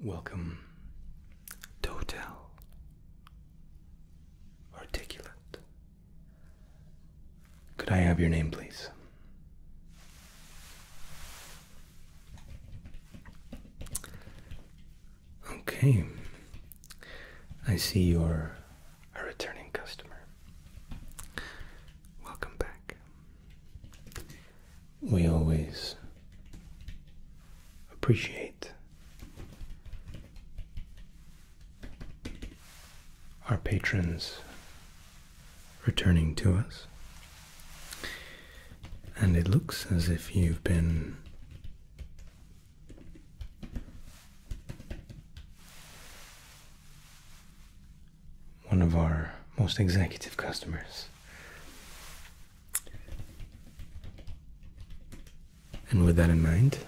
Welcome total, articulate. Could I have your name, please? Okay, I see you're a returning customer. Welcome back we always appreciate our patrons returning to us. And it looks as if you've been one of our most executive customers. And with that in mind,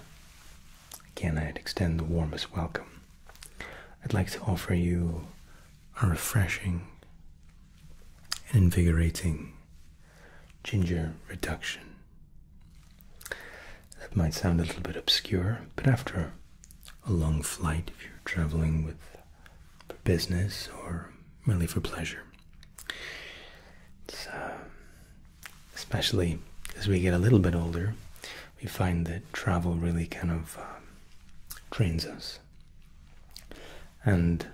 again, I'd extend the warmest welcome. I'd like to offer you a refreshing and invigorating ginger reduction. That might sound a little bit obscure, but after a long flight, if you're traveling with for business or really for pleasure. So, especially as we get a little bit older, we find that travel really kind of trains um, us. And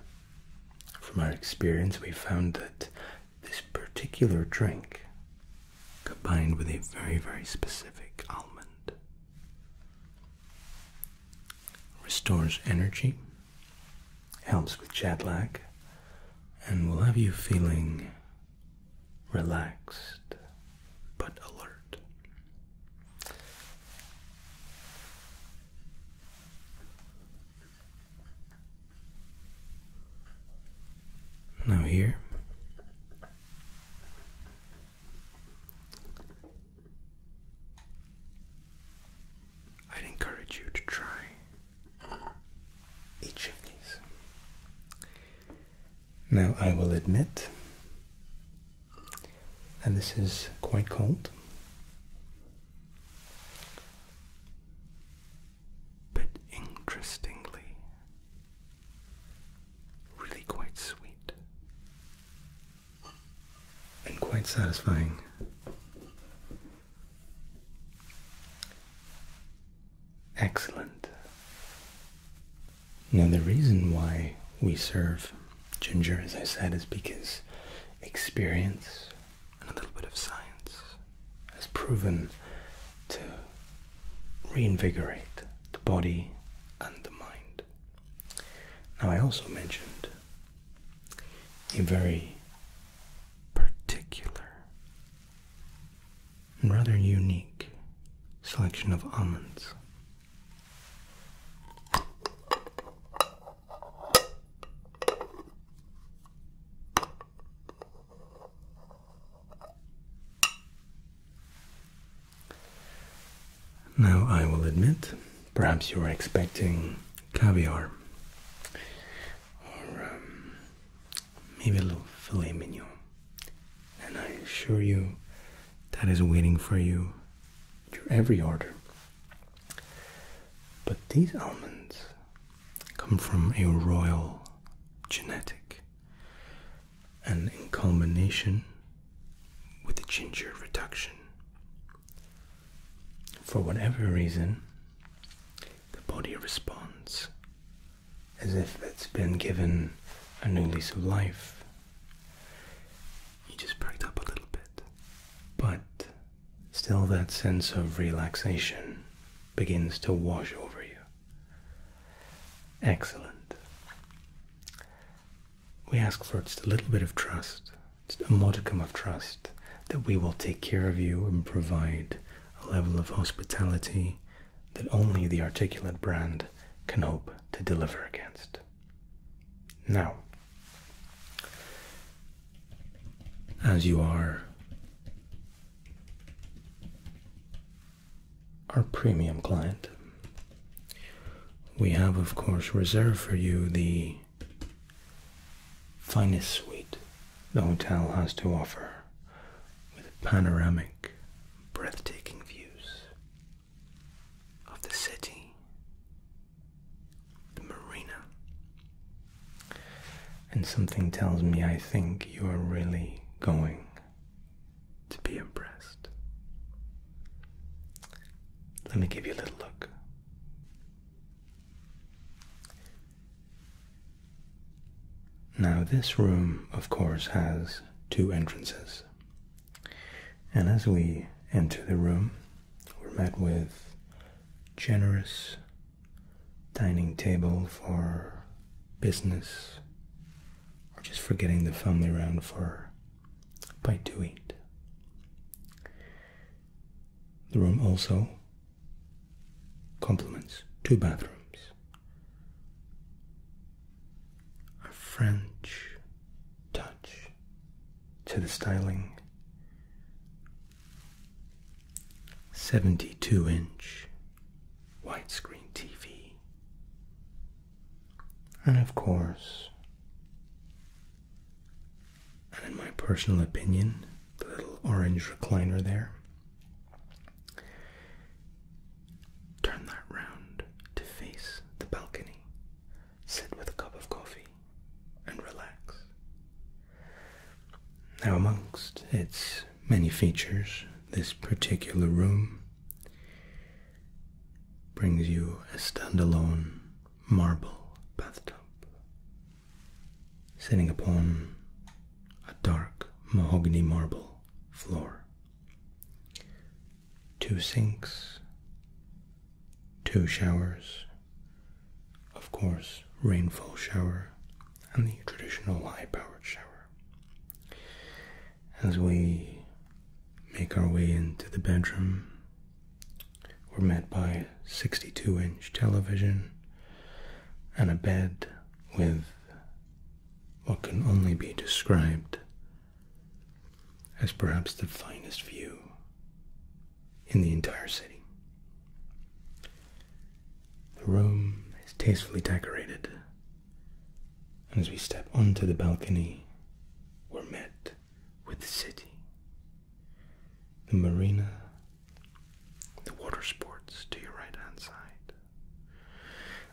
from our experience, we found that this particular drink, combined with a very, very specific almond, restores energy helps with jet lag and will have you feeling relaxed but alert. Now, here I'd encourage you to try each these. Now, I will admit, and this is quite cold, but interestingly, really quite sweet and quite satisfying. Excellent. Now, the reason why we serve ginger, as I said, is because experience and a little bit of science has proven to reinvigorate the body and the mind. Now, I also mentioned a very particular and rather unique selection of almonds. Now I will admit Perhaps you were expecting caviar or um, maybe a little filet mignon. And I assure you that is waiting for you your every order. But these almonds come from a royal genetic and in combination with the ginger reduction for whatever reason, the body responds as if it's been given a new lease of life. You just perked up a little bit, but still that sense of relaxation begins to wash over you. Excellent. We ask for just a little bit of trust a modicum of trust that we will take care of you and provide a level of hospitality that only the articulate brand can hope to deliver against. Now, as you are our premium client, we have, of course, reserved for you the finest suite the hotel has to offer with panoramic, breathtaking views of the city, the marina. And something tells me I think you are really going to be impressed. Let me give you a little look. Now, this room, of course, has two entrances. And as we enter the room, we're met with generous dining table for business or just for getting the family round for a bite to eat. The room also complements two bathrooms a French touch to the styling. 72 inch wide screen TV. And of course, and in my personal opinion, the little orange recliner there. Turn that round to face the balcony. Sit with a cup of coffee and relax. Now, amongst its many features, this particular room brings you a standalone marble bathtub sitting upon a dark mahogany marble floor. Two sinks, two showers, of course, rainfall shower and the traditional high powered shower. As we make our way into the bedroom, were met by 62 inch television and a bed with what can only be described as perhaps the finest view in the entire city. The room is tastefully decorated, and as we step onto the balcony, we're met with the city the marina, the water sports to your right hand side.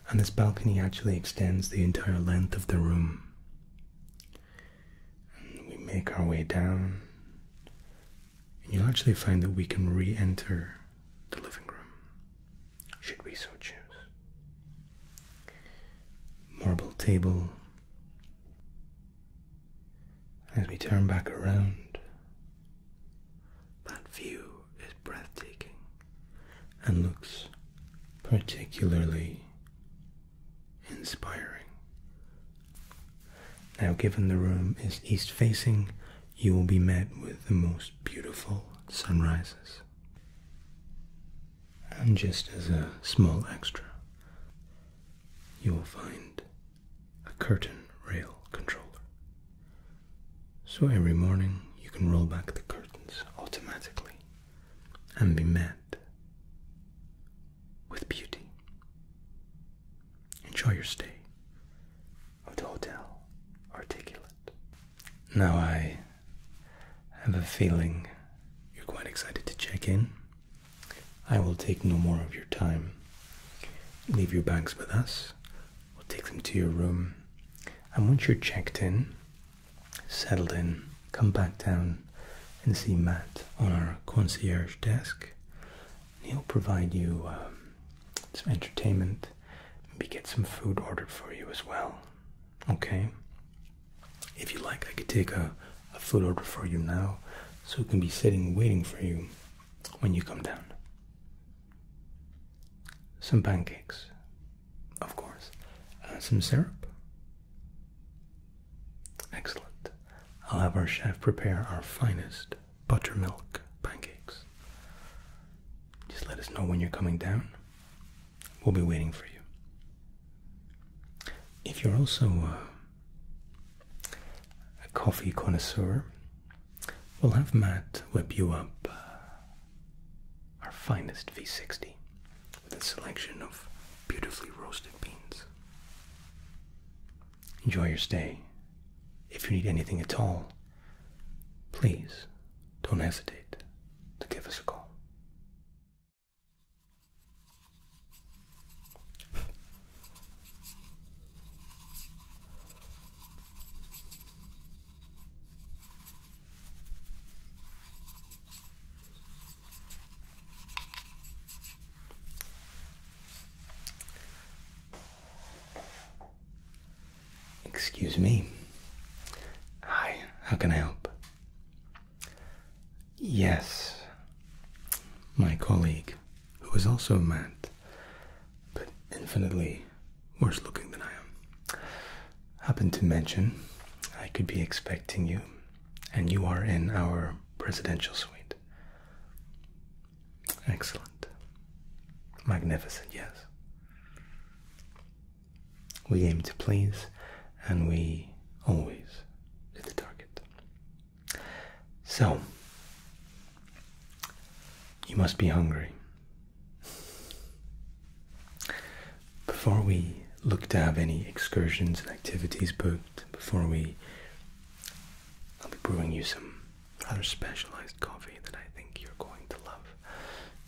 And this balcony actually extends the entire length of the room. And we make our way down, and you'll actually find that we can re enter the living room, should we so choose. Marble table, as we turn back around, that view is breathtaking and looks particularly inspiring. Now, given the room is east facing, you will be met with the most beautiful sunrises. And just as a small extra, you will find a curtain rail controller. So every morning you can roll back the curtains automatically and be met with beauty. Enjoy your stay of the Hotel Articulate. Now I have a feeling you're quite excited to check in. I will take no more of your time. Leave your bags with us. We'll take them to your room. And once you're checked in, settled in, come back down and see Matt on our concierge desk. He'll provide you um, some entertainment, maybe get some food ordered for you as well. Okay? If you like, I could take a a food order for you now so it can be sitting waiting for you when you come down. Some pancakes, of course, and uh, some syrup. Excellent. I'll have our chef prepare our finest buttermilk pancakes. Just let us know when you're coming down. We'll be waiting for you. If you're also uh, a coffee connoisseur, we'll have Matt whip you up uh, our finest V60 with a selection of beautifully roasted beans. Enjoy your stay. If you need anything at all, please don't hesitate to give us a call. Excuse me. Hi, how can I help? Yes, my colleague who is also a man, but infinitely worse looking than I am, happened to mention I could be expecting you, and you are in our presidential suite. Excellent. Magnificent, yes. We aim to please, and we always hit the target. So, you must be hungry. Before we look to have any excursions and activities booked, before we, I'll be brewing you some other specialized coffee that I think you're going to love.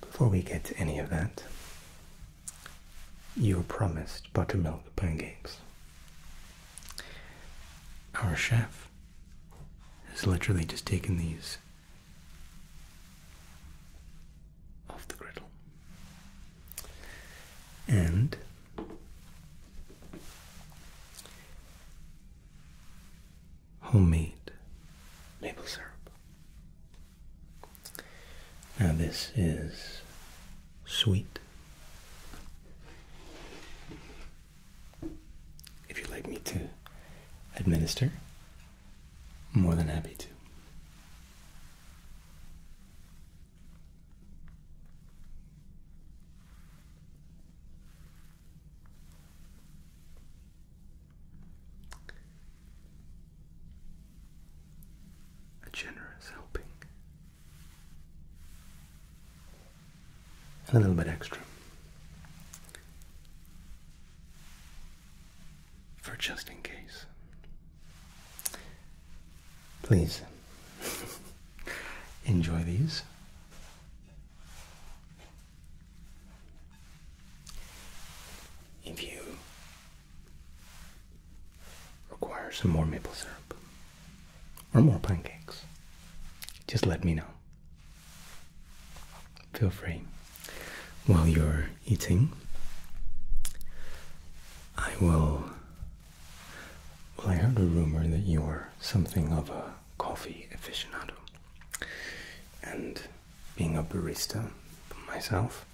Before we get to any of that, you were promised buttermilk pancakes. Our chef has literally just taken these off the griddle and homemade maple syrup. Now, this is sweet if you'd like me to administer, more than happy to. A generous helping and a little bit extra for just in case. Please enjoy these. If you require some more maple syrup, or more pancakes, just let me know. Feel free. While you're eating, I will. Well, I heard a rumor that you are something of a coffee aficionado. And being a barista myself,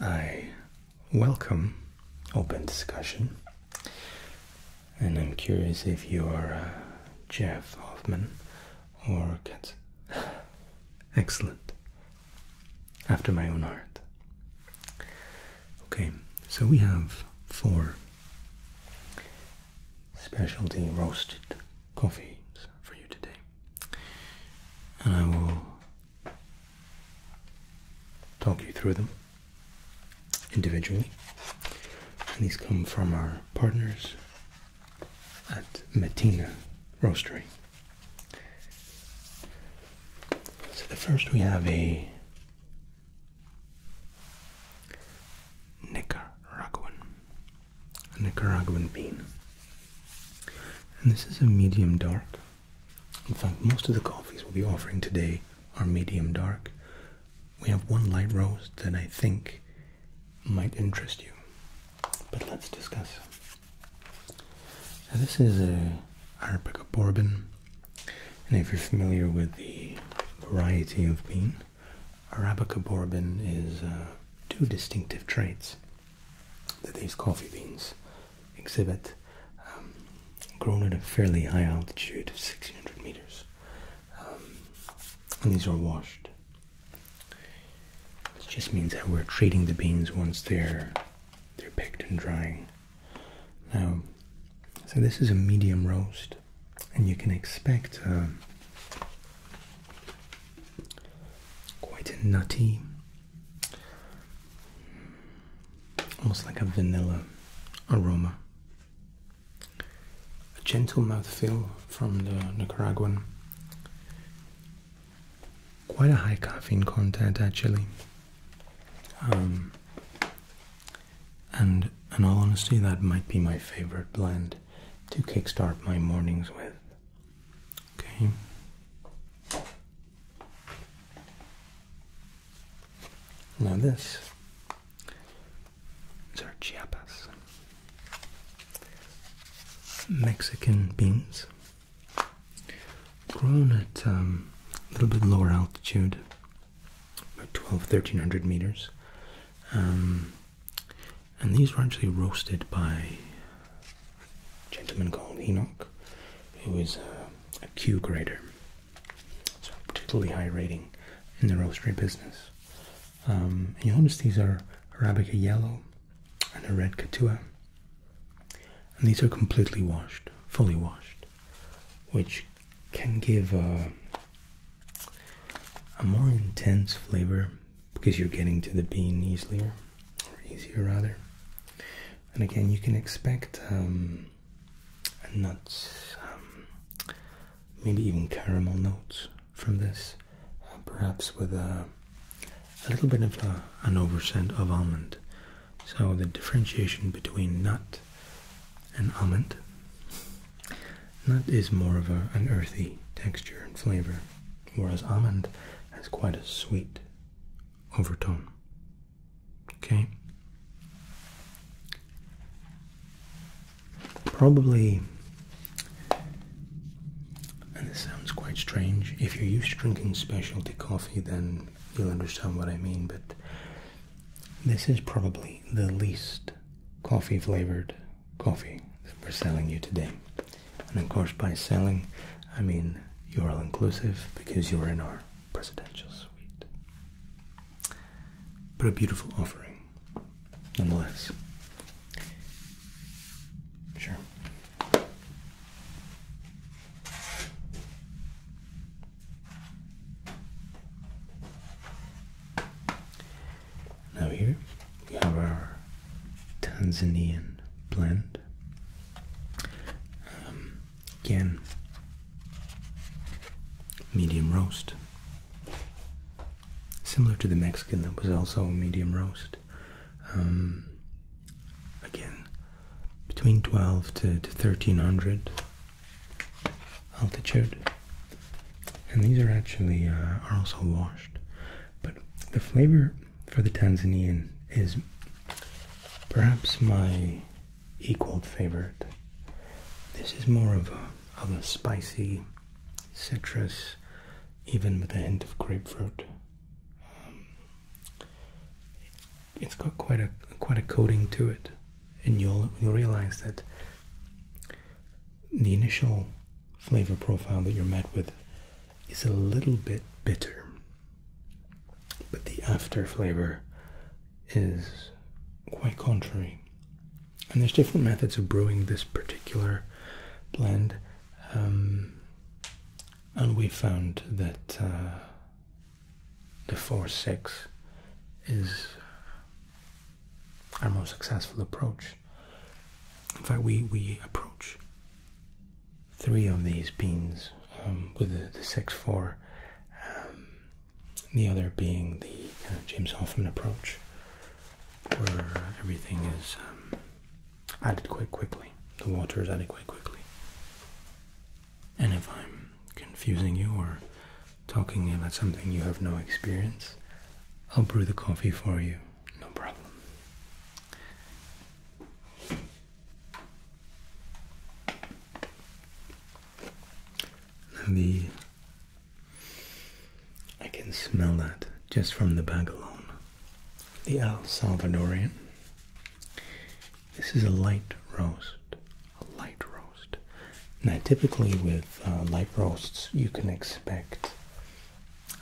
I welcome open discussion and I'm curious if you're uh, Jeff Hoffman or Katz. Excellent. After my own heart. Okay, so we have four specialty roasted coffees for you today. And I will talk you through them individually. And these come from our partners at Matina Roastery. So the first we have a Nicaraguan, a Nicaraguan bean. And this is a medium dark. In fact, most of the coffees we'll be offering today are medium dark. We have one light roast that I think might interest you, but let's discuss. this is a Arabica bourbon, and if you're familiar with the variety of bean, Arabica bourbon is uh, two distinctive traits that these coffee beans exhibit, um, grown at a fairly high altitude of 1600 meters. Um, and these are washed. It just means that we're treating the beans once they're they're picked and drying. Now, so this is a medium roast, and you can expect uh, quite a nutty, almost like a vanilla aroma a gentle mouthfeel from the Nicaraguan. Quite a high caffeine content, actually. Um, and in all honesty, that might be my favorite blend to kickstart my mornings with. Okay. Now this is our chiapas. Mexican beans. Grown at um, a little bit lower altitude, about 12, 1300 meters. Um, and these were actually roasted by a gentleman called Enoch, who is a, a Q grader. It's a particularly high rating in the roastery business. Um, you'll notice these are Arabica yellow and a red Catua, And these are completely washed, fully washed, which can give uh, a, more intense flavor because you're getting to the bean easier, or easier rather. And again, you can expect um, nuts, um, maybe even caramel notes from this, uh, perhaps with a, little bit of an over-scent of almond. So the differentiation between nut and almond. Nut is more of an earthy texture and flavor, whereas almond has quite a sweet overtone. Okay? probably, and this sounds quite strange, if you're used to drinking specialty coffee, then you'll understand what I mean, but this is probably the least coffee flavored coffee that we're selling you today. And of course, by selling, I mean you're all inclusive because you're in our presidential suite but a beautiful offering nonetheless. Sure. Now, here we have our Tanzanian blend. Um, again, medium roast. Similar to the Mexican that was also medium roast. Um, again, between 12 to, 1300 altitude. And these are actually, uh, are also washed. But the flavor for the Tanzanian is perhaps my equal favorite. This is more of a of a spicy citrus, even with a hint of grapefruit. Um, it's got quite a quite a coating to it, and you'll you'll realize that the initial flavor profile that you're met with is a little bit bitter, but the after flavor is quite contrary. And there's different methods of brewing this particular blend. Um, and we found that uh, the 4-6 is our most successful approach. In fact, we, we approach three of these beans um, with the, 6-4 the other being the uh, James Hoffman approach, where everything is um, added quite quickly. The water is added quite quickly. And if I'm confusing you or talking about something you have no experience, I'll brew the coffee for you, no problem. the I can smell that just from the bag alone. The El Salvadorian. This is a light roast. A light roast. Now, typically with uh, light roasts, you can expect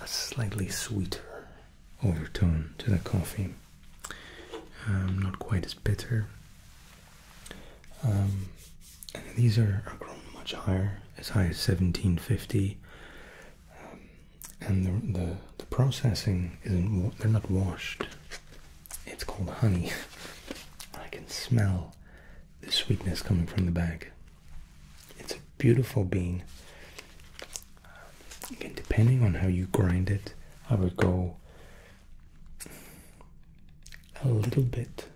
a slightly sweeter overtone to the coffee. Um, not quite as bitter um, and these are, grown much higher, as high as 1750. Um, and the, the, the processing isn't, they're not washed. It's called honey. I can smell the sweetness coming from the bag. It's a beautiful bean. Again, depending on how you grind it, I would go a little bit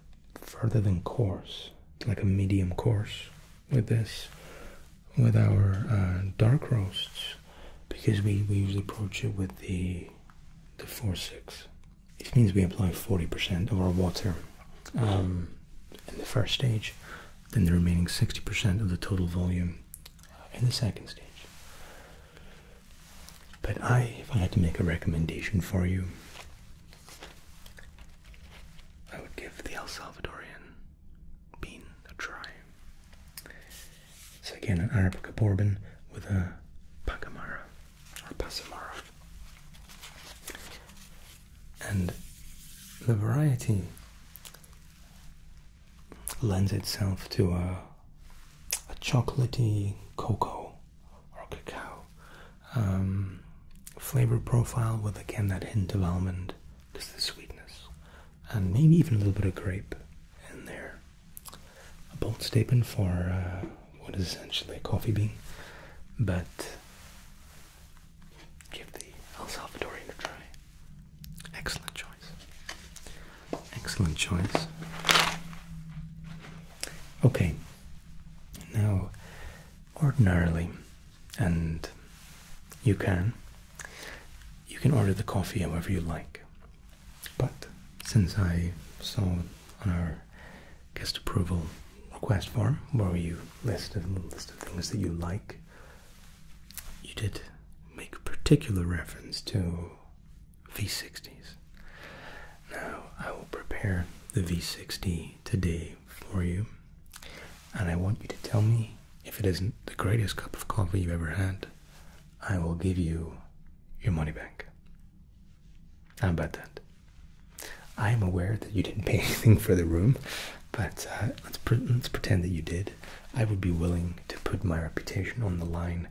further than coarse, like a medium coarse with this, with our uh, dark roasts, because we, we usually approach it with the the four six. This means we apply 40% of our water um, in the first stage, then the remaining 60% of the total volume uh, in the second stage. But I, if I had to make a recommendation for you, I would give the El Salvadorian bean a try. So again, an Arabica bourbon with a Pacamara or Pasamara. And the variety lends itself to a, a chocolatey cocoa or cacao um, flavor profile with again that hint of almond, just the sweetness, and maybe even a little bit of grape in there. A bold statement for uh, what is essentially a coffee bean, but give the El Salvadorian a try. Excellent choice. Excellent choice. Okay, now, ordinarily, and you can, you can order the coffee however you like. But since I saw on our guest approval request form where you listed a list of things that you like, you did make particular reference to V60s. Now, I will prepare the V60 today for you, and I want you to tell me if it isn't the greatest cup of coffee you've ever had. I will give you your money back. How about that? I am aware that you didn't pay anything for the room, but uh, let's pretend that you did. I would be willing to put my reputation on the line,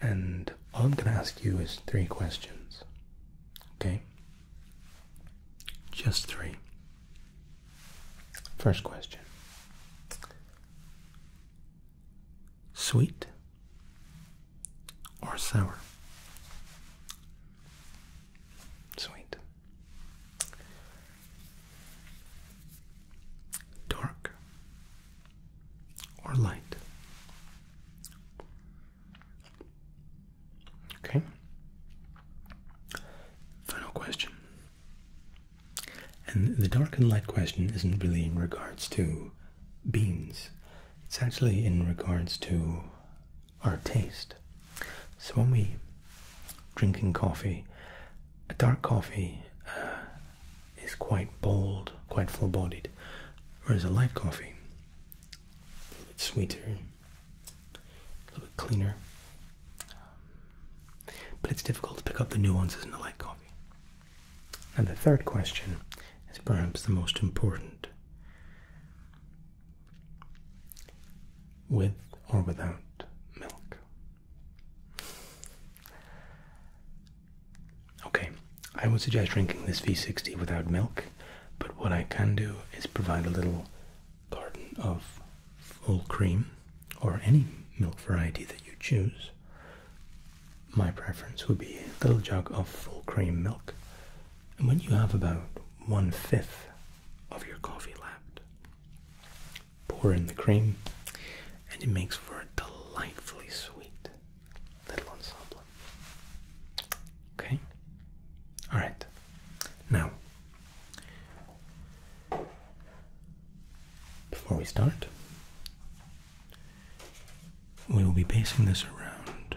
and all I'm going to ask you is three questions. Okay? Just three. First question Sweet or sour? Sweet. Dark or light? Okay. Final question. And the dark and light question isn't really in regards to beans, it's actually in regards to our taste. So when we drinking coffee, a dark coffee uh, is quite bold, quite full bodied, whereas a light coffee a little bit sweeter, a little bit cleaner. Um, but it's difficult to pick up the nuances in the light coffee. And the third question is perhaps the most important. With or without milk? Okay, I would suggest drinking this V60 without milk, but what I can do is provide a little carton of full cream or any milk variety that you choose. My preference would be a little jug of full cream milk, and when you have about one fifth of your coffee left, pour in the cream, and it makes for a delightfully sweet little ensemble. Okay? Alright. Now, before we start, we will be basing this around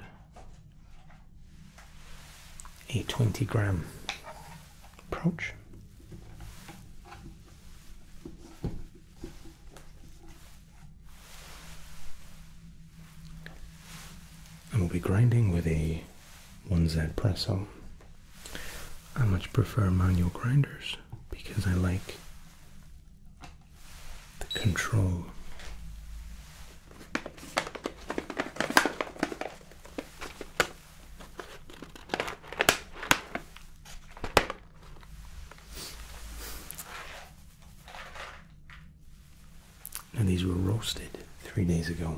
a 20 gram approach. And we'll be grinding with a 1Z Presso. I much prefer manual grinders because I like the control. And these were roasted three days ago.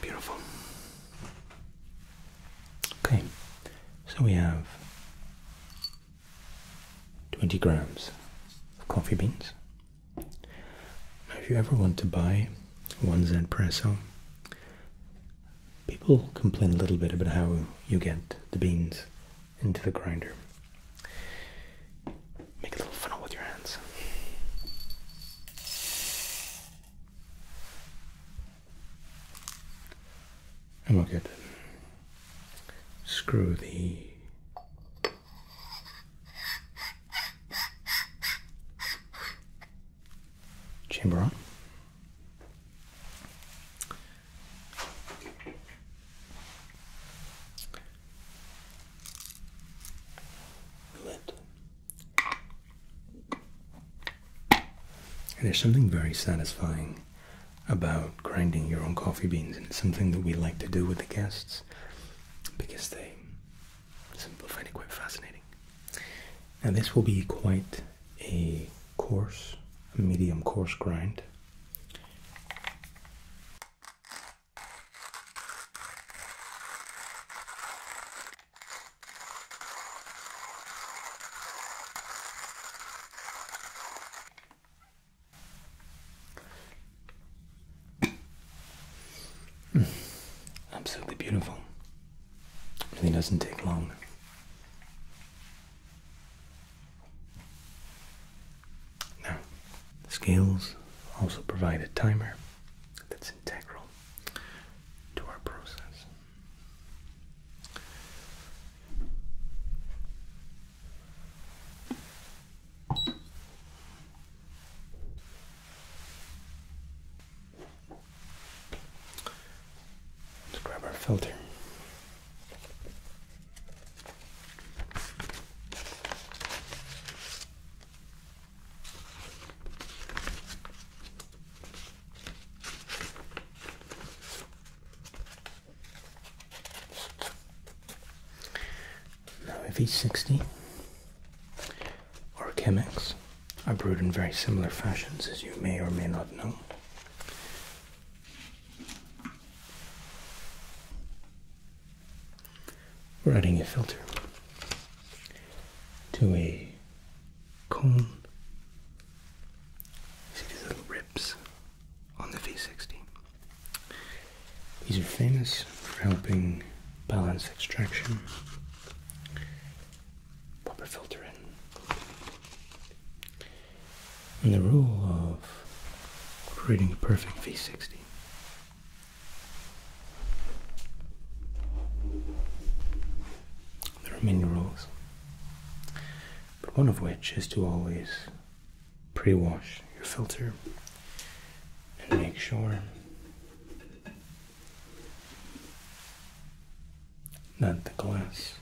Beautiful. Okay, so we have 20 grams of coffee beans. Now, if you ever want to buy one Zenpresso, people complain a little bit about how you get the beans into the grinder. Make a little funnel with your hands. And we'll screw the chamber on. Lid. there's something very satisfying about grinding your own coffee beans, and it's something that we like to do with the guests because they simply find it quite fascinating. Now, this will be quite a coarse, medium coarse grind. Absolutely beautiful. Really doesn't take long. Now, scales also provide a timer that's integral to our process. Let's grab our filter. Now, he's V60 or Chemex are brewed in very similar fashions, as you may or may not know. We're adding a filter to a cone. See these little ribs on the V60. These are famous for helping balance extraction. Pop a filter in. And the rule of creating a perfect V60 there are many rules, but one of which is to always pre wash your filter and make sure not the glass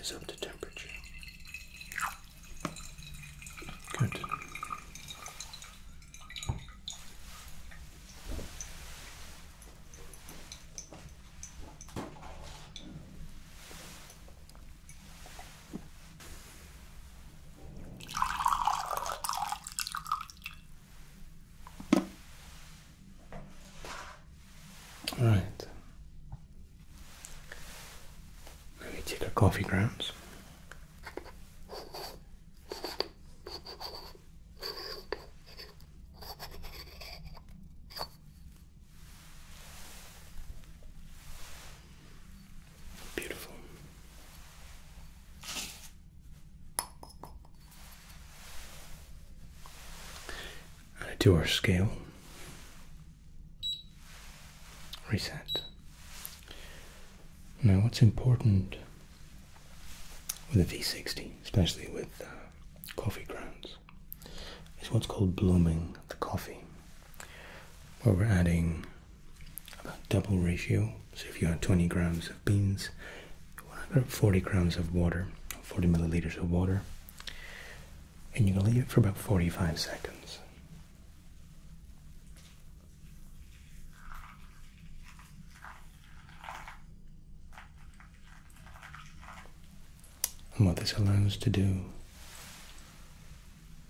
is up to temperature. Good. Alright. Let me take our coffee grounds. Beautiful. And a 2 scale. Reset. Now, what's important with a V60, especially with uh, coffee grounds, is what's called blooming the coffee, where we're adding about double ratio. So, if you had 20 grams of beans, 40 grams of water, 40 milliliters of water, and you're going to leave it for about 45 seconds. And what this allows to do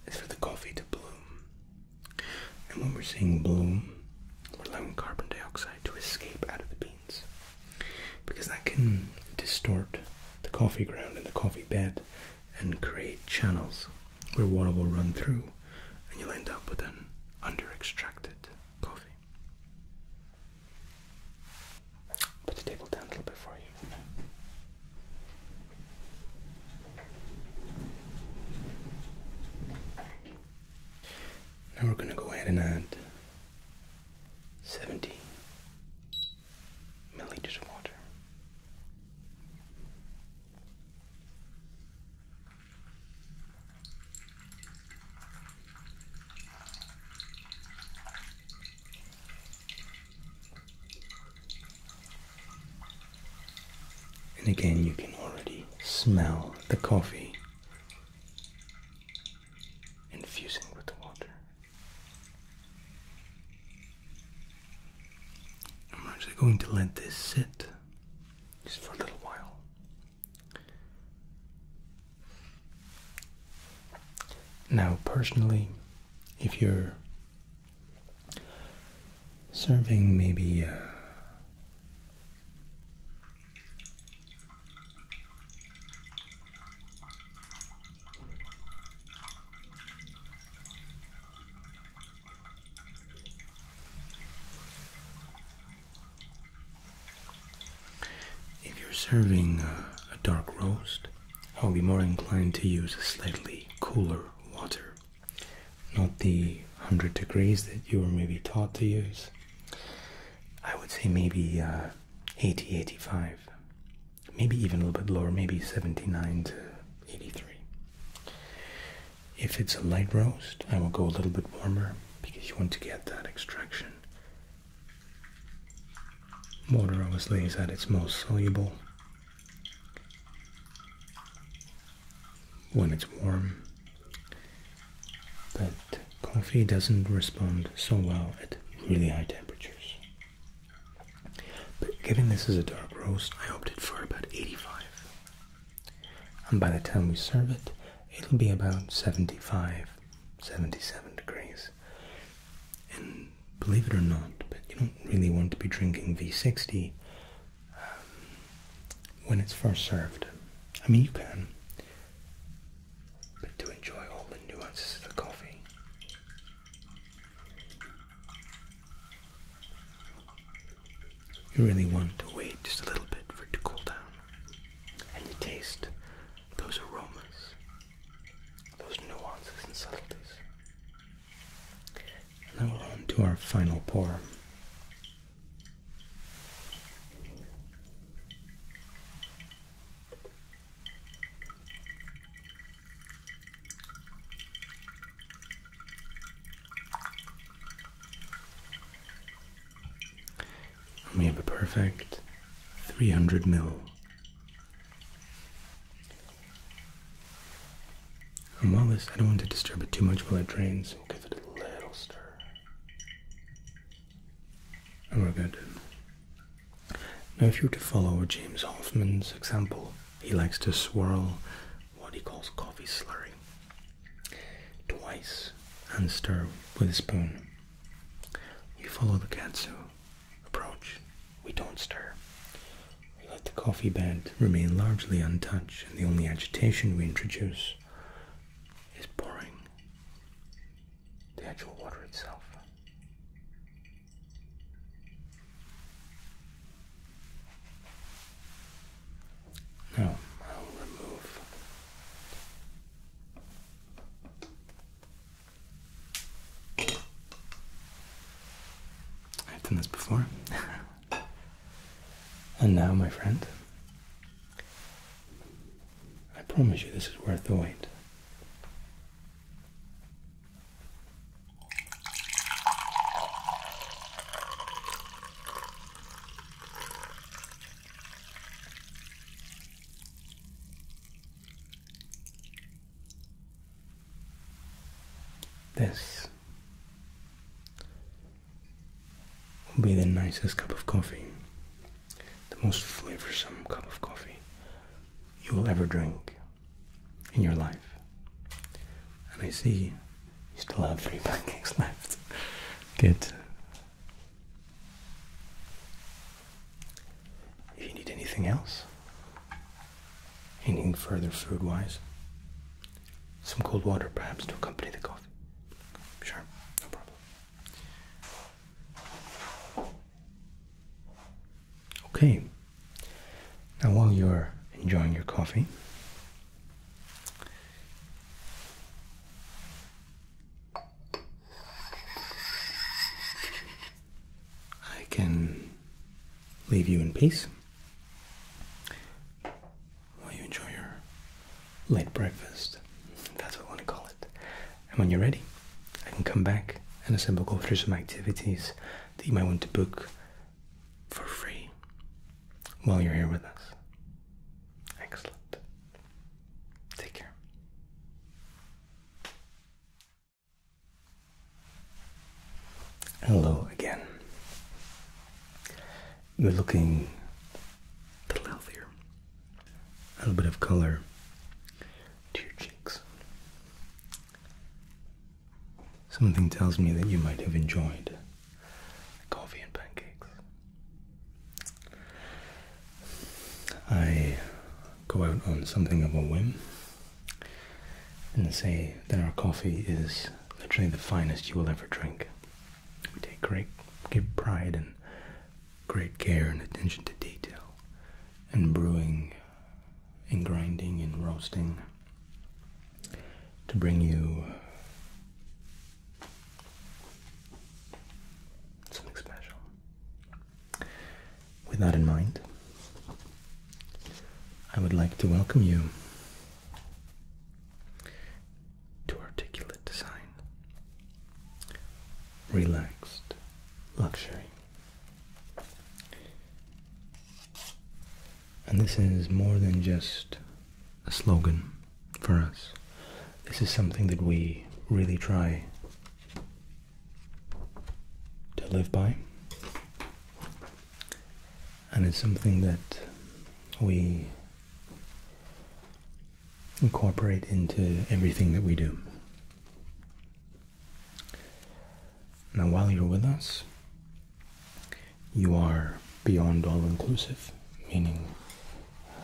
is for the coffee to bloom. And when we're saying bloom, we're allowing carbon dioxide to escape out of the beans because that can distort the coffee ground and the coffee bed and create channels where water will run through and you'll end up with an under extracted coffee. Put the table down a little bit for you. Now we're going to go ahead and add seventeen milliliters of water. And again, you can already smell the coffee infusing with the water. I'm actually going to let this sit just for a little while. Now, personally, if you're serving maybe uh, if you're serving a dark roast, I'll be more inclined to use slightly cooler water, not the 100 degrees that you were maybe taught to use. I would say maybe uh, 80 85 maybe even a little bit lower, maybe 79 to 83. If it's a light roast, I will go a little bit warmer because you want to get that extraction. Water obviously is at its most soluble when it's warm, but coffee doesn't respond so well at really high temperatures. But given this is a dark roast, I opted for about 85. And by the time we serve it, it'll be about 75, 77 degrees. And believe it or not, but you don't really want to be drinking V60 um, when it's first served. I mean, you can, but to enjoy all the nuances of the coffee, you really want to wait just a little bit for it to cool down. And you taste those aromas, those nuances and subtleties. Now we're on to our final pour we have a perfect 300 mil. And while this, I don't want to disturb it too much while it drains, we'll give it a little stir. And we're good. Now, if you were to follow James Hoffman's example, he likes to swirl what he calls coffee slurry twice and stir with a spoon. You follow the katsu approach. We don't stir. We let the coffee bed remain largely untouched, and the only agitation we introduce is pouring the actual water itself. Now remove I've done this before. and now, my friend, I promise you this is worth the wait. This will be the nicest cup of coffee, the most flavorsome cup of coffee you will ever drink in your life. And I see you still have three pancakes left. Good. If you need anything else, anything further food wise, some cold water perhaps to accompany the coffee. Sure, no problem. Okay. Now, while you're enjoying your coffee, I can leave you in peace while you enjoy your late breakfast. That's what I want to call it. And when you're ready, I can come back and assemble go through some activities that you might want to book for free while you're here with us. Excellent. Take care. Hello again. You're looking a little healthier. A little bit of color to your cheeks. Something tells me that you might have enjoyed coffee and pancakes. I go out on something of a whim and say that our coffee is literally the finest you will ever drink. We take great give pride and great care and attention to detail in brewing and grinding and roasting to bring you something special. With that in mind, I would like to welcome you to Articulate Design. Relaxed Luxury. And this is more than just a slogan for us. This is something that we really try to live by. And it's something that we incorporate into everything that we do. Now, while you're with us, you are beyond all inclusive, meaning uh,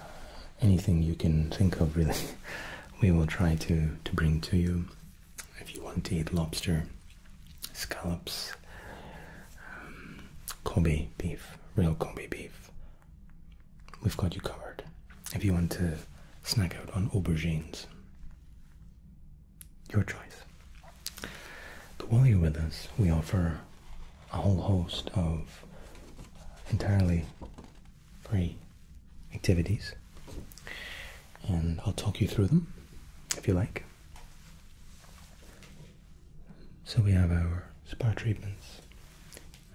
anything you can think of, really, we will try to, to bring to you. If you want to eat lobster, scallops, um, Kobe beef, real Kobe beef, we've got you covered. If you want to snack out on aubergines, your choice. But while you're with us, we offer a whole host of entirely free activities, and I'll talk you through them if you like. So we have our spa treatments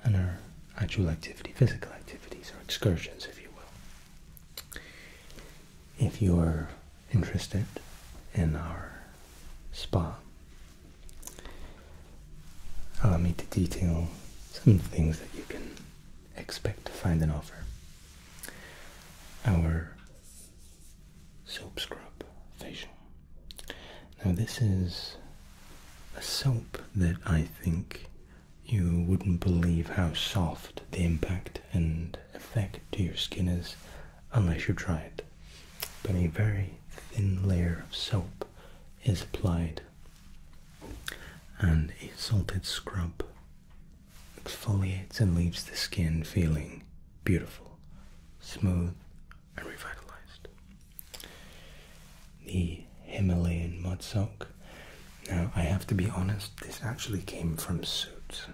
and our actual activity, physical activities, our excursions, if you will if you are interested in our spa. Allow me to detail some things that you can expect to find and offer. Our soap scrub facial. Now this is a soap that I think you wouldn't believe how soft the impact and effect to your skin is unless you try it. But a very thin layer of soap is applied and a salted scrub exfoliates and leaves the skin feeling beautiful, smooth, and revitalized. The Himalayan mud soak now, I have to be honest, this actually came from Suits.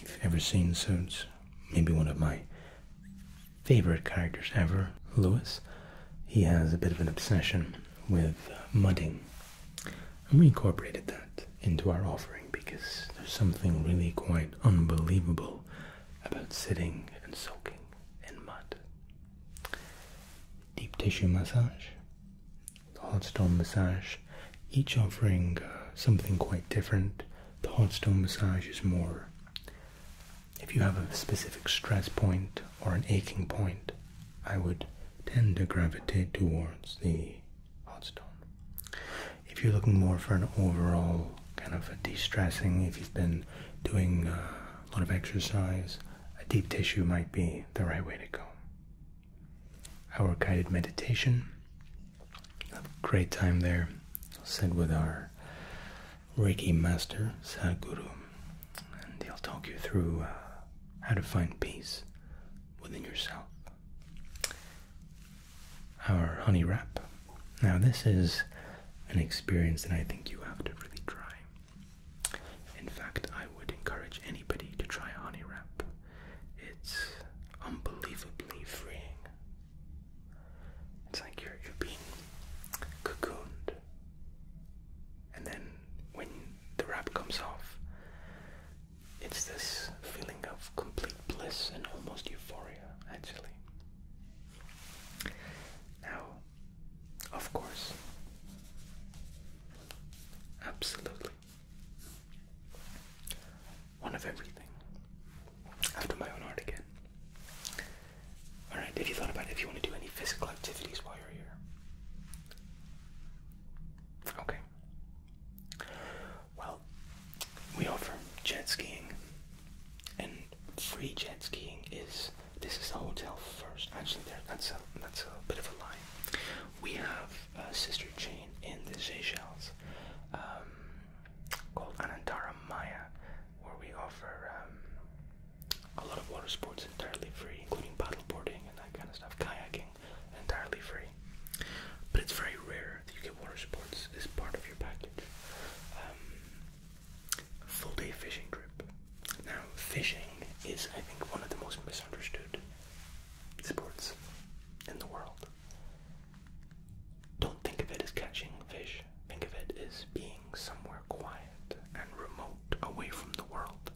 If you've ever seen Suits, maybe one of my favorite characters ever, Lewis, he has a bit of an obsession with uh, mudding. And we incorporated that into our offering because there's something really quite unbelievable about sitting and soaking in mud. Deep tissue massage the hot stone massage, each offering uh, something quite different. The hot stone massage is more if you have a specific stress point or an aching point, I would tend to gravitate towards the hot stone. If you're looking more for an overall kind of a de-stressing, if you've been doing uh, a lot of exercise, a deep tissue might be the right way to go our guided meditation. a great time there. said with our Reiki master, Sadhguru, and he'll talk you through uh, how to find peace within yourself. Our honey wrap. Now, this is an experience that I think you have to really try. In fact, I would encourage anybody to try honey wrap. It's unbelievably freeing. It's like you're you're being cocooned. And then when the wrap comes off, it's this feeling of complete bliss and almost euphoria, actually. Now, of course, absolutely one of everything. i my own art again. Alright, have you thought about if you want to do any physical activities while you're here? Okay. Well, we offer jet skiing, and free jet skiing is. This is the hotel first. Actually, there that's a that's a bit of a lie. We have uh, sister chain in the Seychelles um, called Anantara Maya, where we offer um, a lot of water sports entirely free, including paddleboarding and that kind of stuff, kayaking entirely free. But it's very rare that you get water sports as part of your package. Um, full day fishing trip. Now, fishing is, I think, one of the most misunderstood sports in the world. Don't think of it as catching fish. Think of it as being somewhere quiet and remote away from the world.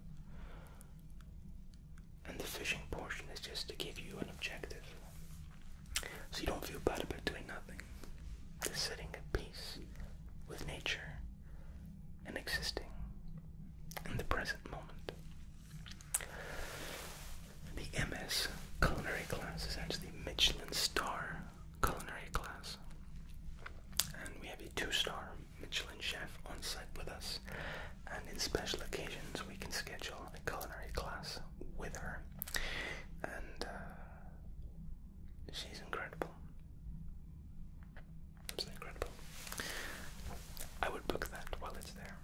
And the fishing portion is just to give you an objective. So you don't feel bad about doing nothing. Just sitting at peace with nature and existing in the present moment. The MS culinary class is actually Michelin star culinary class. And we have a two-star Michelin chef on site with us. And in special occasions, we can schedule a culinary class with her. And uh, she's incredible. It's incredible. I would book that while it's there.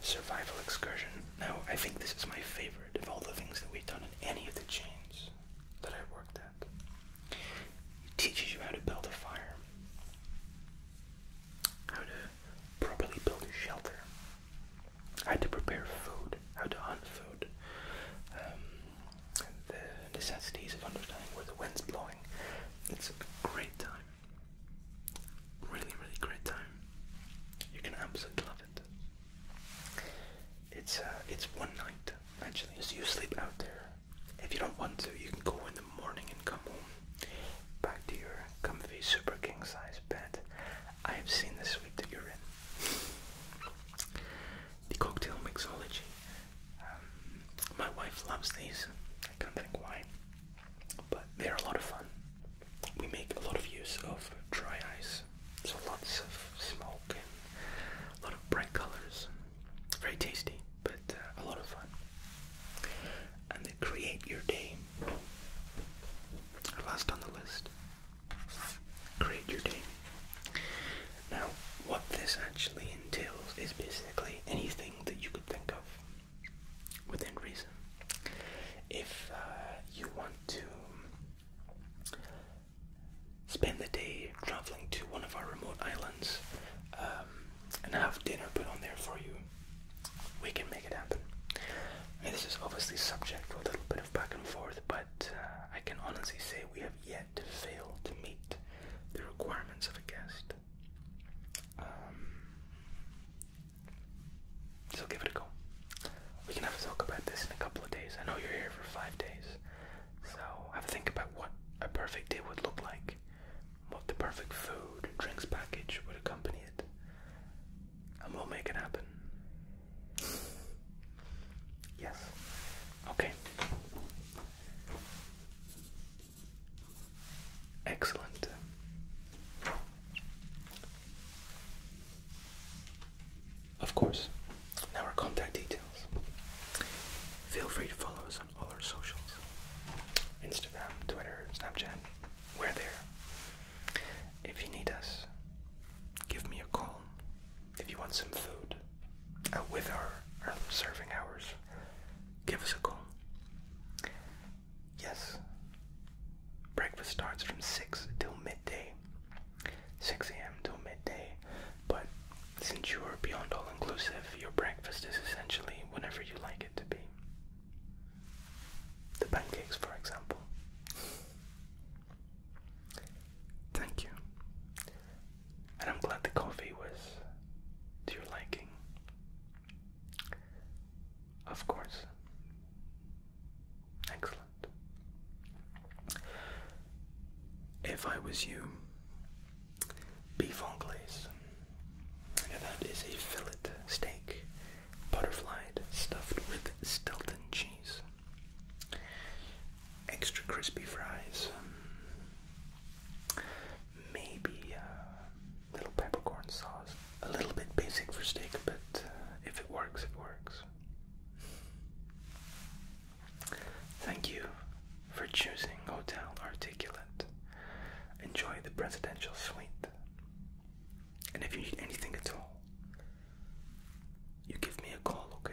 Survival Excursion. Now, I think this is my favorite of all the things that we've done in any of the chains that I worked at. It teaches you how to build a fire, how to properly build a shelter, how to prepare food, how to hunt food, um, the necessities of understanding where the wind's blowing. It's a great time. Really, really great time. You can absolutely love it. It's uh, it's one night actually. So you sleep out there. If you don't want to, you can go in the morning and come home back to your comfy super king size bed. I have seen the suite that you're in. The cocktail mixology. Um, my wife loves these. I can't think why but they're a lot of fun. We make a lot of use of dry ice, so lots of smoke and a lot of bright colors. Very tasty, but uh, a lot of fun. And they create your day. Last on the list, create your day. Now, what this actually entails is basically anything that you could think of within reason. If uh, you want to spend the day traveling to one of our remote islands um, and have dinner put on there for you, we can make it happen. And this is obviously subject to a little bit of back and forth, but uh, I can honestly say we have yet to fail to meet the requirements of a guest. Um, so give it a go. We can have a talk about this in a couple of days. I know you're here for five days, so have a think about what a perfect day would look like, what the perfect food drinks package would accompany it, and we'll make it happen. Yes. Okay. Excellent. Of course. Now our contact details. Feel free to follow us on all our socials. Instagram, Twitter, Snapchat. We're there. If you need us, give me a call. If you want some food, uh, with our serving hours, give us a call. Yes. Breakfast starts from 6 till midday. 6 a.m. till midday. But since you are beyond all inclusive, your breakfast is essentially whatever you like it to be. The pancakes, for example. Thank you. And I'm glad the coffee was to your liking. Of course. Excellent. If I was you, beef anglaise. And that is a fillet steak, butterflied, stuffed with Stilton cheese. Extra crispy fries. Maybe uh, little peppercorn sauce. A little bit basic for steak, but uh, if it works, it works. Thank you for choosing Hotel Articulate. Enjoy the presidential suite. And if you need anything at all, you give me a call, okay?